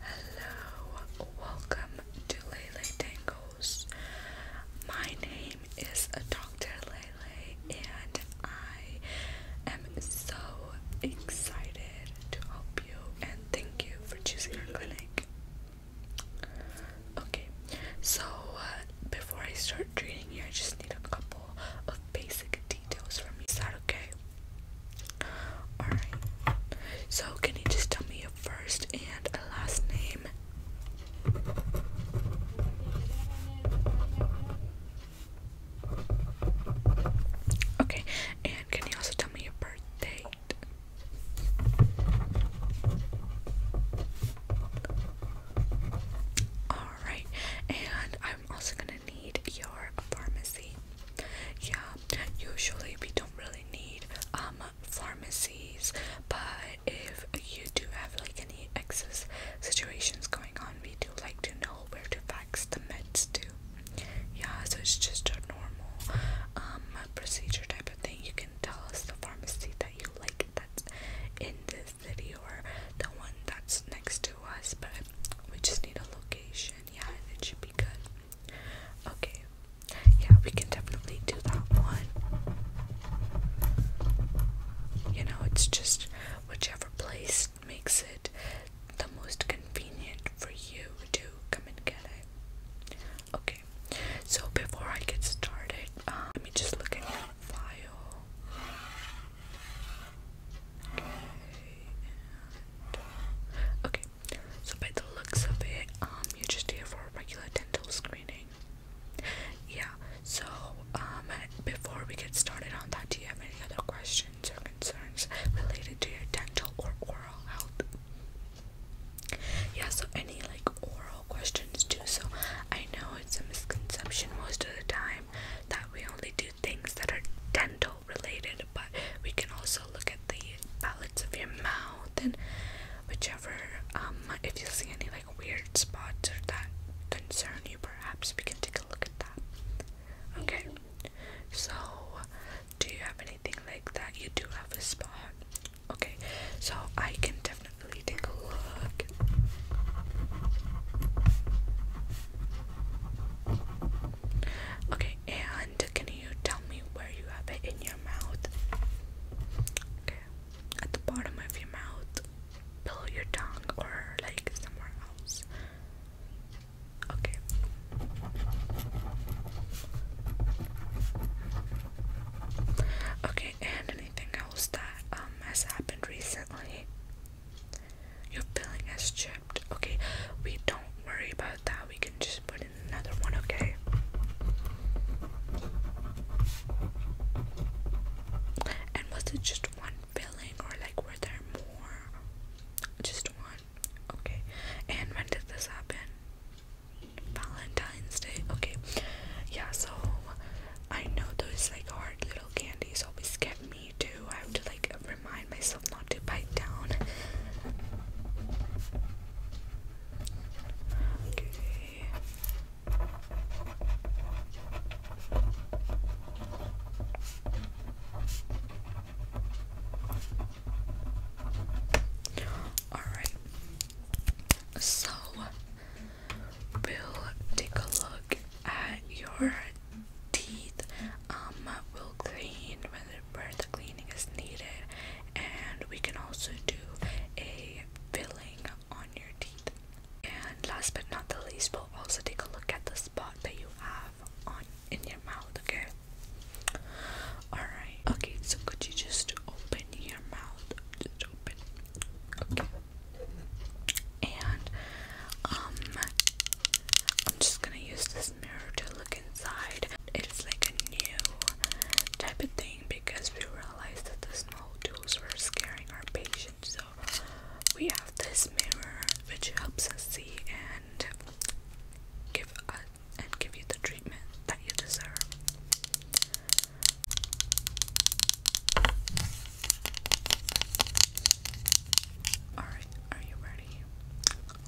Hello, welcome to Lele Tangos. My name is Dr. Lele, and I am so excited to help you and thank you for choosing our clinic. Okay, so uh, before I start treating you, I just need a couple of basic details from you. Is that okay? Alright. So, can you just tell me your first and last name? Okay, and can you also tell me your birthday? Alright, and I'm also gonna need your pharmacy yeah usually we don't really need um pharmacies but if you do have like any excess situations going on we do like to know where to fax the meds to yeah so it's just a normal um procedure type of thing you can tell us the pharmacy that you like that's in this city or the one that's next to us but we just need a location yeah and it should be good Okay. Yeah, we can definitely do that one. You know, it's just whichever place makes it the most convenient for you to come and get it. Okay. So before I get started, um, let me just look at your file and, okay, so by the looks of it, um, you're just here for a regular dental screening. Yeah, so, um, before we get started on that, do you have any other questions or concerns related to your dental or oral health? Yeah, so any like oral questions too. So I know it's a misconception most of the time that we only do things that are dental related, but we can also look at the palates of your mouth and whichever um, if you see any like weird spots that concern you perhaps we can take a look at that. Okay. So do you have anything like that? You do have a spot. Okay, so I can definitely take a look. Okay, and can you tell me where you have it in your mouth? Okay, at the bottom of your mouth, below your tongue, or like somewhere else. Okay. Okay, and anything else that um has happened recently? Your filling has chipped. Okay, we don't worry about that. We can just put in another one, okay? And was it just one filling or like were there more? Just one. Okay. And when did this happen? Valentine's Day. Okay. Yeah, so I know those like hard little candies always get me me too. I have to like remind myself not to bite down. Okay. All right. So we take a look at your teeth um, will clean when the birth cleaning is needed, and we can also do a filling on your teeth. And last but not the least, we'll also take a look at the spot that you have on in your mouth. Alright. Okay, so could you just open your mouth? Just open. Okay and um I'm just gonna use this mirror to look inside. It's like a new type of thing because we realized that the small tools were scaring our patients. So we have this mirror which helps us see and give us and give you the treatment that you deserve. Alright, are you ready?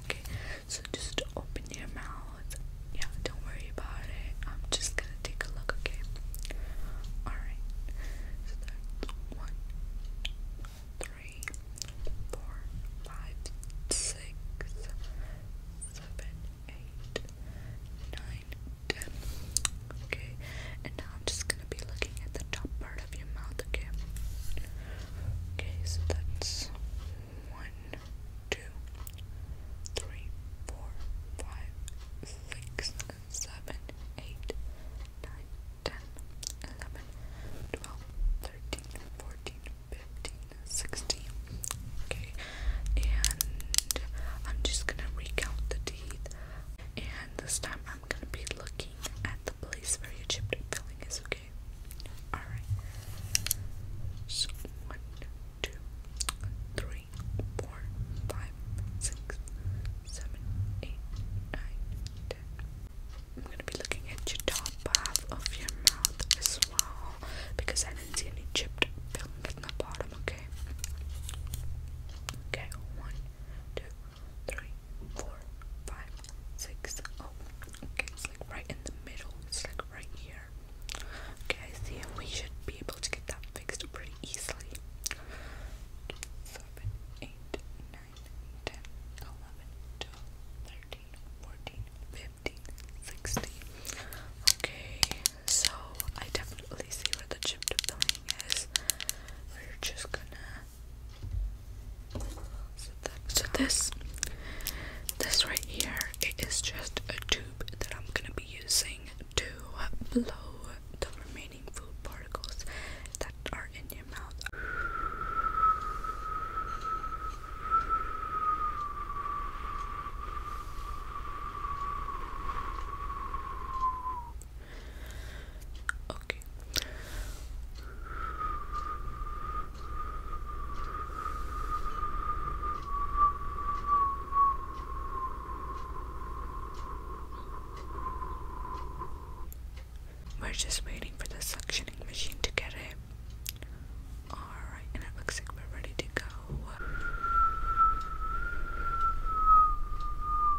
Okay, so just open your mouth. Yeah, don't worry about it. I'm just gonna take a look, okay? Alright, so Okay, and now I'm just gonna be looking at the top part of your mouth, okay? Okay, so that's one, two, three, four, five, six, seven, eight, nine, ten, eleven, twelve, thirteen, fourteen, fifteen, sixteen. Okay, and I'm just gonna recount the teeth, and this time I I'm gonna be looking at the place where your chipped filling is, okay? Alright. So one, two, three, four, five, six, seven, eight, nine, ten. I'm gonna be looking at your top half of your mouth as well because I didn't see any chipped filling in the bottom, okay? Okay, one, two, three, four, five, six. Oh, okay, it's like right in the middle. It's like right here. Okay, I see. We should be able to get that fixed pretty easily. 7, Okay, so I definitely see where the chip deploying is. We're just gonna so, this, this right here, is just a tube that I'm gonna be using to blow the remaining food particles that are in your mouth. We're just waiting for the suctioning machine to get it. Alright, and it looks like we're ready to go.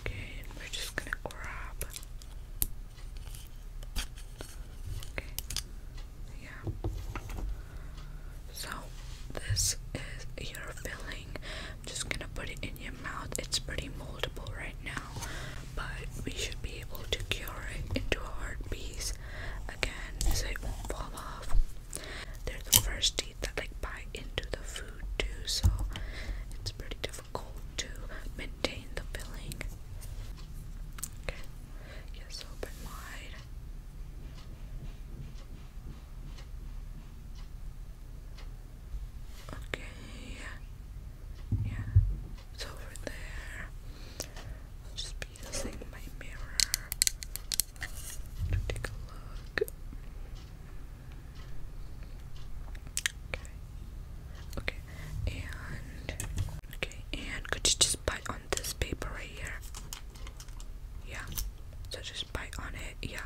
Okay, we're just gonna grab. Okay, yeah. So this is your filling. I'm just gonna put it in your mouth. It's pretty moldable right now, but we should be able to cure it into a hard piece again, as it won't fall off. They're the first teeth that like bite into the food too, so it's pretty difficult to maintain the filling. Okay, yes, open wide. Okay, yeah, it's over there. I'll just using my mirror to take a look. Okay. Okay. And okay. And could you just bite on this paper right here? Yeah. So just bite on it. Yeah.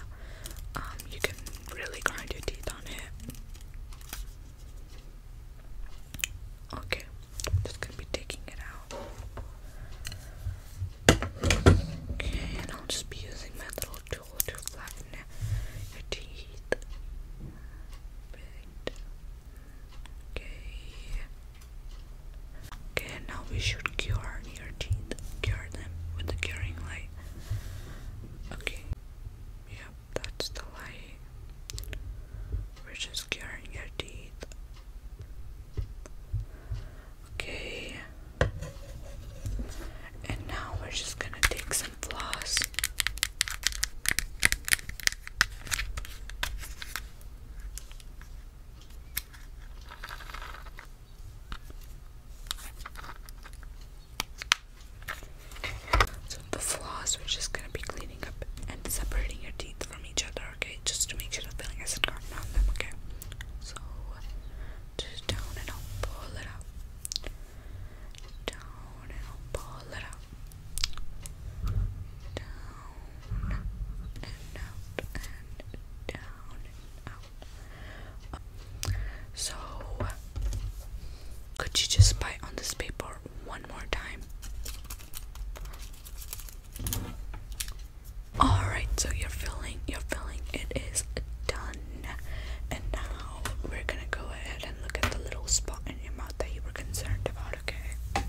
Um. You can really grind your teeth on it. Okay. I'm just gonna be taking it out. Okay, and I'll just be using my little tool to flatten your teeth. Okay. Okay, now we should cure your teeth. Cure them with the curing light. Okay. Yep, that's the light we which is curing your teeth. Okay, and now we're just gonna take some floss. So the floss, we're just gonna be cleaning up and separating your teeth from each other okay? Just to make sure the filling isn't gotten on them, okay? So, down and i pull it up. Down and i pull it up. Down and out down and out. So, could you just bite on this paper one more time? Alright, so you filling, you filling, it is done. And now we're gonna go ahead and look at the little spot in your mouth that you were concerned about, okay?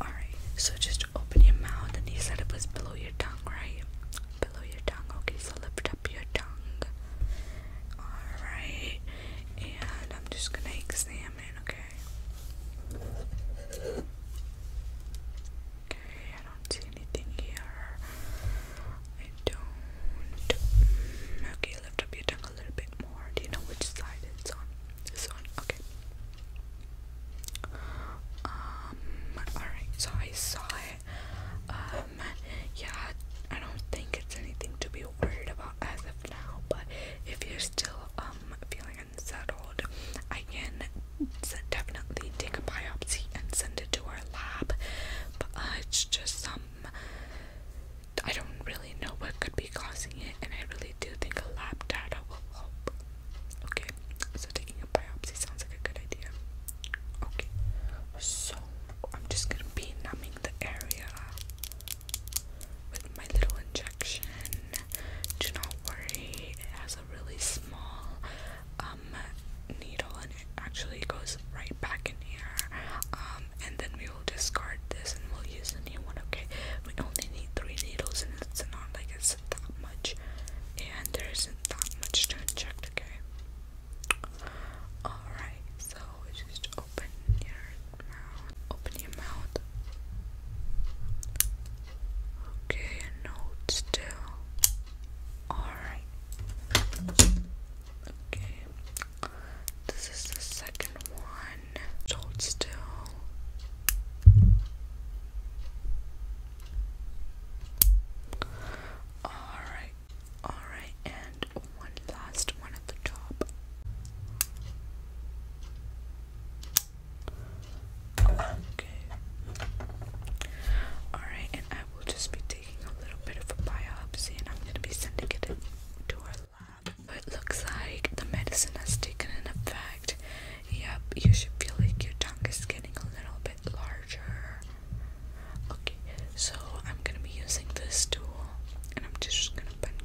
Alright, so just open your mouth and you said it was below your tongue, right? Below your tongue, okay, so lift up your tongue. Alright, and I'm just gonna examine, okay? Okay, I don't see anything here. I don't. Okay, lift up your tongue a little bit more. Do you know which side it's on? This one? Okay. Um, alright, so I saw it. Um, yeah, I don't think it's anything to be worried about as of now, but if you're still, um, um, feeling unsettled, I can definitely take a biopsy and send it to our lab. But it's just some. I don't really know what could be causing it, and I really do think a lab data will help. Okay, so taking a biopsy sounds like a good idea. Okay, so I'm just gonna be numbing the area with my little injection. Do not worry, it has a really small um, needle and it actually goes right back in here. Um, and then we will discard this and we'll use a new one, okay? We only need three needles and it's not like it's that much and there isn't that much to inject, okay? Alright, so just open your Open your mouth. Okay, and still. Alright. Okay. This is the second one. Hold still. Alright. Alright, and one last one at the top. Okay. Alright, and I will just be taking a little bit of a biopsy and I'm going to be sending it to our lab. it looks like the medicine has taken an effect. Yep, you should feel like your tongue is getting a little bit larger. Okay, so I'm going to be using this tool and I'm just going to bend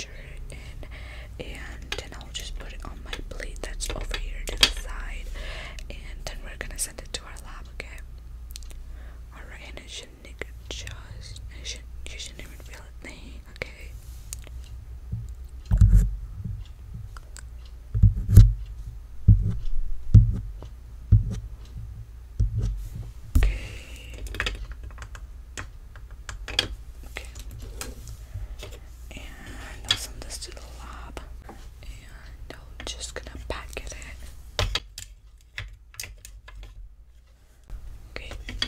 and then I'll just put it on my plate that's over here to the side and then we're gonna send it to our lab, okay? Alright, and it shouldn't just it should you shouldn't even feel a thing, okay? Okay. Okay. And send this to the lab. And I'm just gonna packet it. Okay, and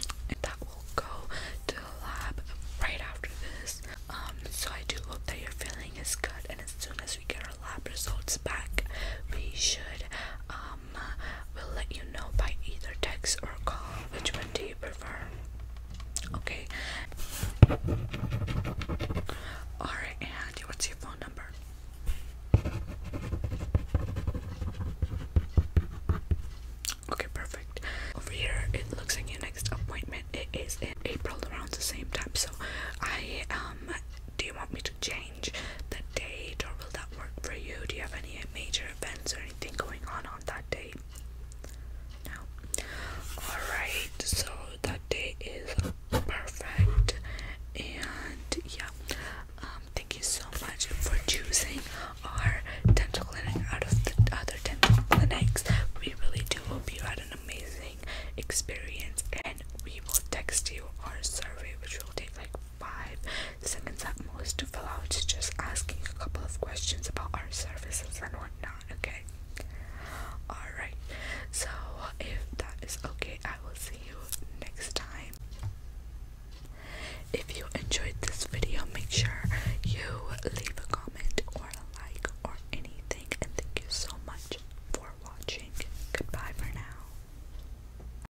that will go to the lab right after this. Um, so I do hope that your feeling is good, and as soon as we get our lab results back, we should um um, will let you know by either text or call which one do you prefer okay all right and what's your phone number okay perfect over here it looks like your next appointment it is in april around the same time so i um do you want me to change the date, or will that work for you? Do you have any major events or anything going on on that day? No. Alright, so that day is perfect. And yeah, um, thank you so much for choosing our dental clinic out of the other dental clinics. We really do hope you had an amazing experience, and we will text you our survey, which will take like five seconds at most to fill out just asking a couple of questions about our services and whatnot, okay? Alright, so if that is okay, I will see you next time. If you enjoyed this video, make sure you leave a comment or a like or anything, and thank you so much for watching. Goodbye for now.